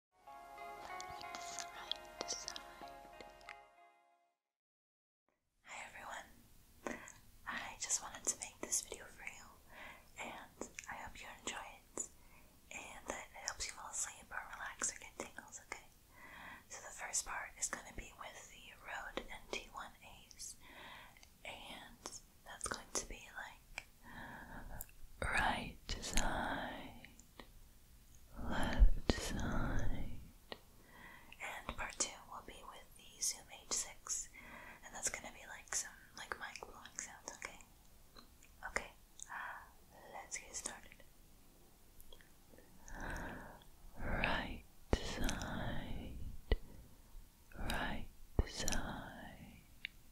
Hi everyone. I just wanted to make this video for you and I hope you enjoy it and that it helps you fall asleep or relax or get tingles, okay? So the first part is going to be with the Rode NT1As and that's going to be like right side left side. And part two will be with the Zoom H6, and that's gonna be like some like mic blowing sounds, okay? Okay, let's get started. Right side, right side,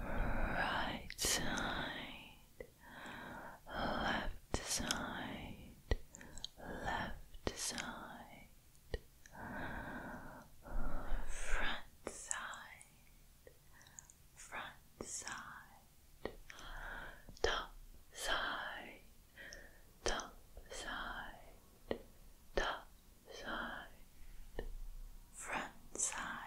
right side, left side, left side, front side, front side, top side, top side, top side. Front side,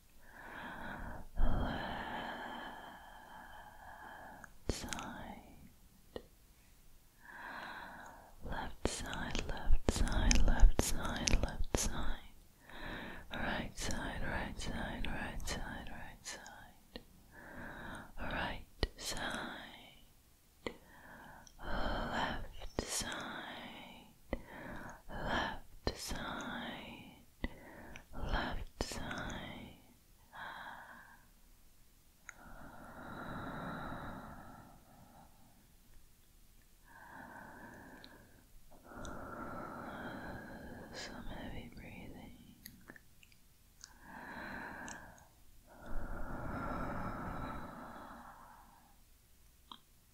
left side, left side, left side, left side, right side, right side, right side, right side, right side, left side left side, left side. Some heavy breathing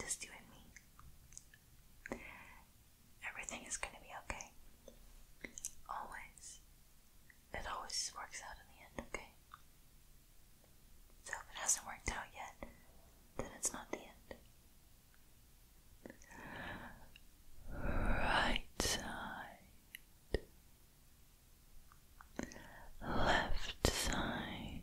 Just you and me. Everything is going to be okay. Always. It always works out in the end, okay? So if it hasn't worked out yet, then it's not the end. Right side, left side,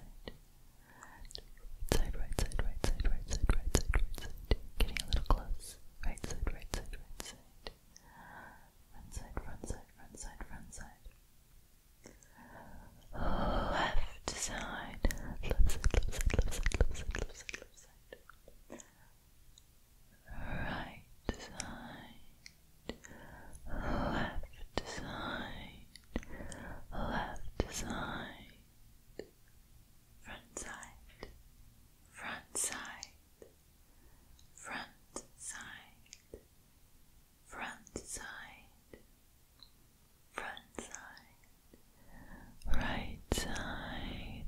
side. Side, right side, right side, right side, right side, right side. Getting a little close. Right side, right side, right side. Front side, front side, front side, front side. Left side. Left side, left side, left side, left side, left side, left side. Right side left side, left side, front side, front side, front side, front side, front side, right side,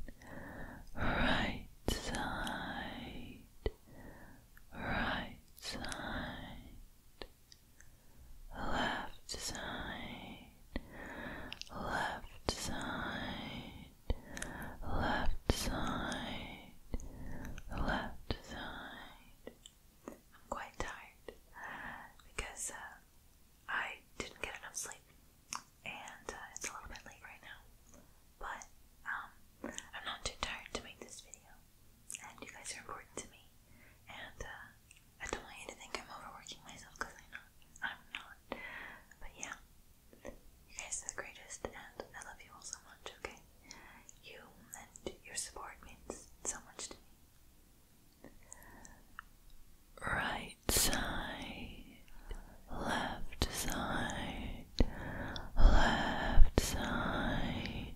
right side. Right side, left side, left side, left side, left side. I'm quite tired because uh, I didn't get enough sleep, and uh, it's a little bit late right now. But um, I'm not too tired to make this video and you guys are important to me. And uh, I don't want you to think I'm overworking myself because I'm not. I'm not. But yeah, you guys are the greatest, and I love you all so much. Okay, you and your support means so much to me. Right side, left side, left side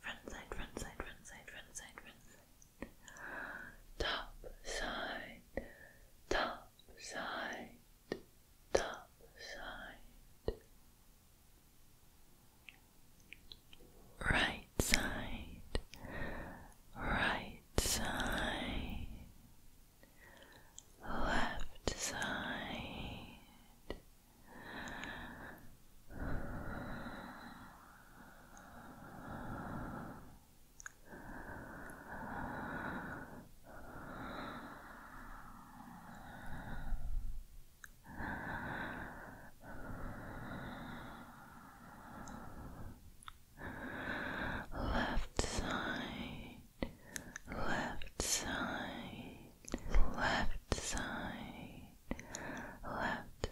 front side, front side, front side, front side, front side, top side, top side, top side, right side, right side. Left side, Left side, left side, left side, left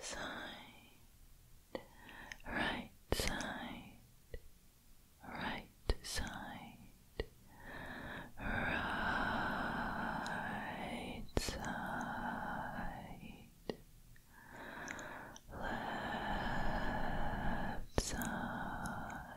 side, right side, right side, right side, left side.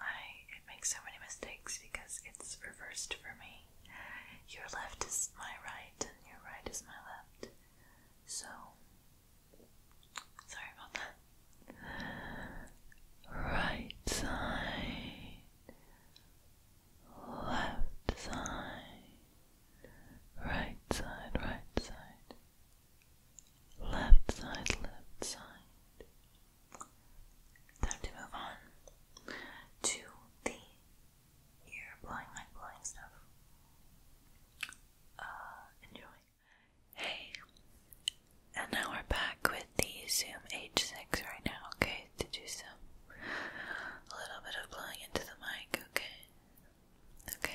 I it makes so many mistakes because it's reversed for me. Your left is my right, and your right is my left. So sorry about that. Right side, left side, right side, right side, left side, left side, Time to move on to the ear blowing, mind blowing stuff. Uh, enjoy. Hey, and now we're back with the Zoom H6 right now, okay? To do some a little bit of blowing into the mic, okay? Okay.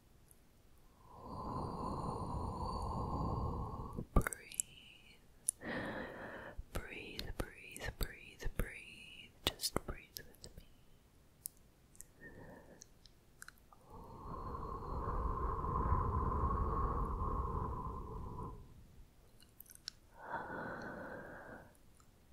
Breathe. Breathe, breathe, breathe, breathe. Just breathe with me.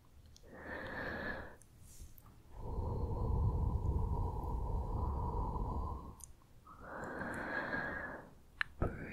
Breathe. Breathe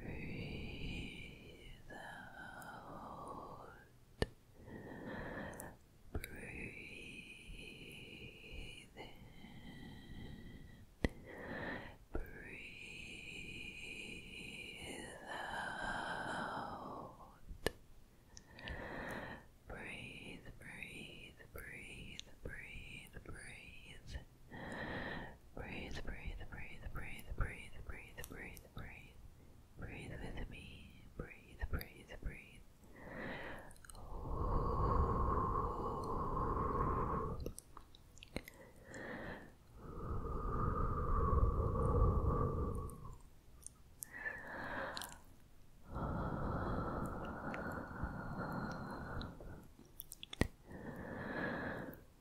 Breathe out. Breathe in. Breathe out. Breathe, breathe, breathe, breathe, breathe. Breathe, breathe, breathe, breathe, breathe, breathe, breathe, breathe. Breathe with me. breathe, breathe, breathe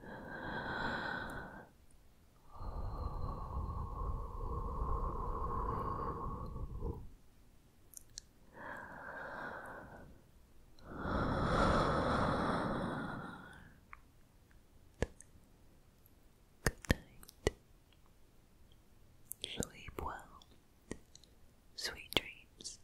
Good night. Sleep well. Sweet dreams.